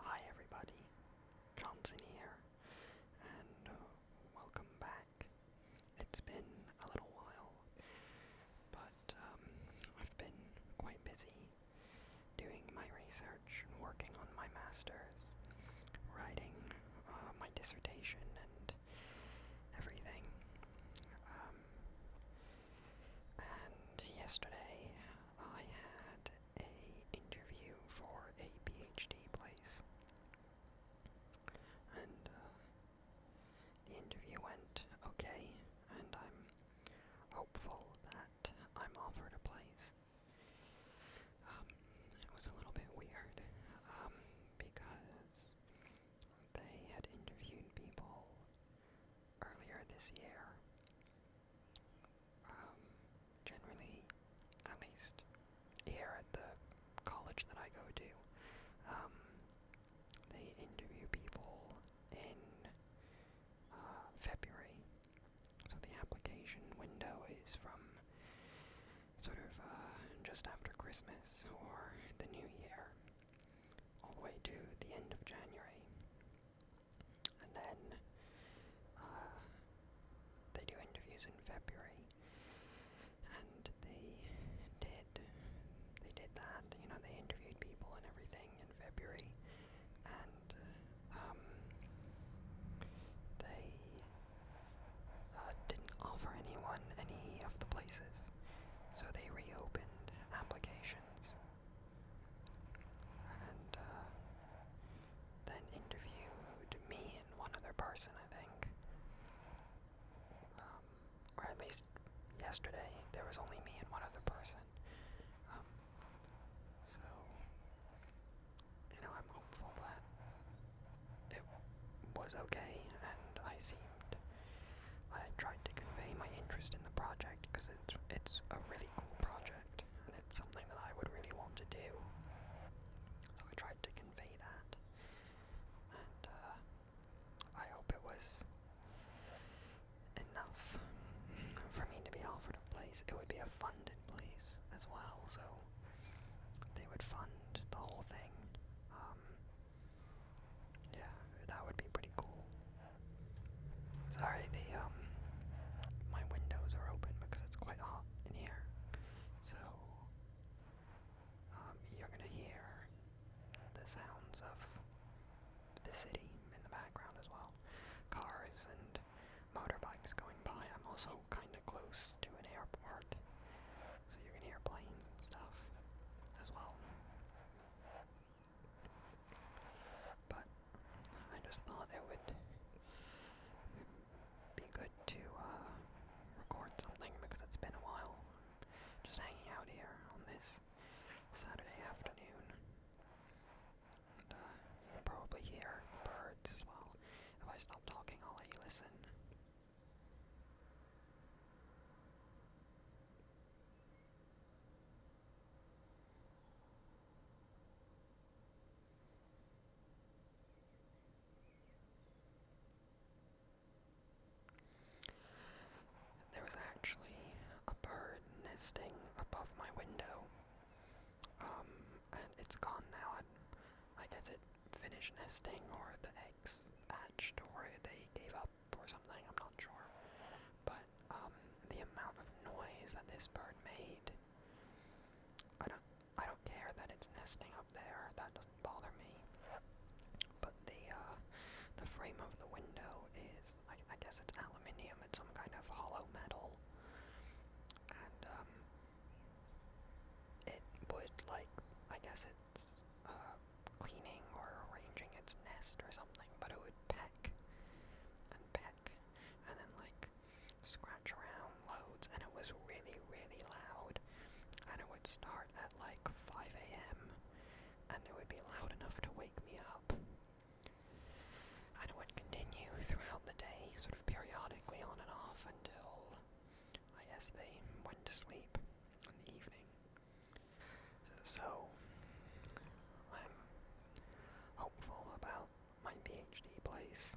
Hi everybody, Johnson here, and uh, welcome back. It's been a little while, but um, I've been quite busy doing my research and working on my master's, writing uh, my dissertation and everything. Um, and yesterday I had a interview for a PhD place. And uh, the interview went okay, and I'm hopeful that I'm offered a place. Um, it was a little bit weird um, because they had interviewed people earlier this year um, generally, at least here at the college that I go to, um, they interview people in uh, February. So the application window is from sort of uh, just after Christmas or the New Year all the way to the end of January and then uh, they do interviews in February, and they did they did that. You know, they interviewed people and everything in February, and um, they uh, didn't offer anyone any of the places, so they reopened applications and uh, then interviewed me and one other person, I think. Um, or at least yesterday, there was only me and one other person. Um, so, you know, I'm hopeful that it was okay, and I seemed. I tried to convey my interest in the project because it's it's a really cool project project, and it's something that I would really want to do. So I tried to convey that, and uh, I hope it was enough for me to be offered a place. It would be a funded place as well, so they would fund the whole thing. Um, yeah, that would be pretty cool. Sorry, the um, my windows are open because it's quite hot in here. So um, you're gonna hear the sounds of the city in the background as well, cars and motorbikes going by. I'm also kind of close to an airport, so you can hear planes and stuff as well. But I just thought it would be good to uh, record something because it's been a while. Just hanging out here on this Saturday afternoon. Uh, you'll probably hear the birds as well. If I stop talking, I'll let you listen. There was actually a bird nesting above my window. Um, and it's gone now. I, I guess it finished nesting, or the eggs hatched, or they gave up or something, I'm not sure. But um, the amount of noise that this bird made, I don't, I don't care that it's nesting up there. That doesn't bother me. But the uh, the frame of the window is, I, I guess it's aluminium. It's some kind of hollow metal, and um, it would like, I guess it's uh, cleaning or arranging its nest or something. But it would peck and peck and then like scratch around loads and it was really really loud and it would start at like 5 a.m. and it would be loud enough to wake me up and it would continue throughout the day sort of periodically on and off until I guess they went to sleep in the evening so, I'm hopeful about my PhD place.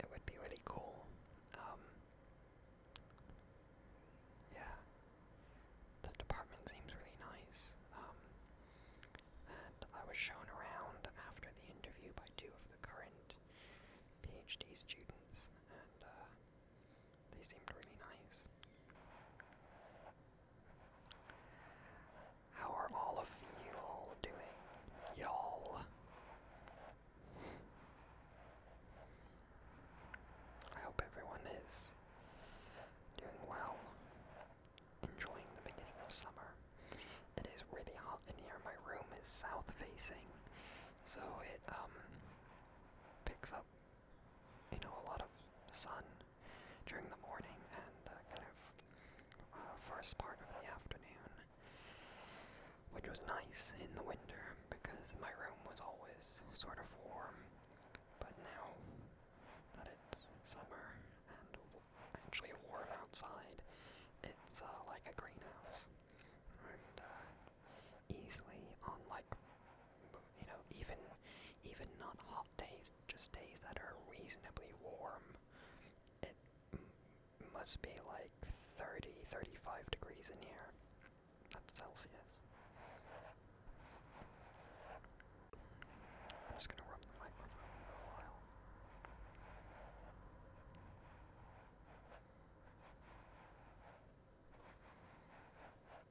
It would be really cool. Um, yeah, the department seems really nice. Um, and I was shown around after the interview by two of the current PhD students, and uh, they seemed really nice. How are all of you all doing? Y'all. I hope everyone is doing well, enjoying the beginning of summer. It is really hot in here. My room is south facing, so it um picks up you know, a lot of sun during the morning and the kind of uh, first part of the afternoon, which was nice in the winter because my room was always sort of warm. But now that it's summer and actually warm outside, it's uh, like a greenhouse. And uh, easily on like you know, even even not hot days, just days that are reasonably warm, it must be like 30, 35 degrees in here. That's Celsius. I'm just gonna rub the microphone for a while.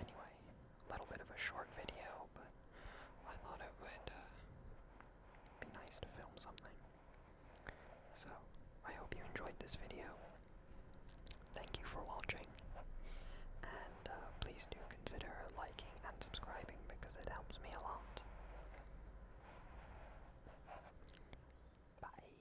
Anyway, a little bit of a short video, but I thought it would uh, be nice to film something. So, I hope you enjoyed this video. Thank you for watching, and uh, please do consider liking and subscribing because it helps me a lot. Bye.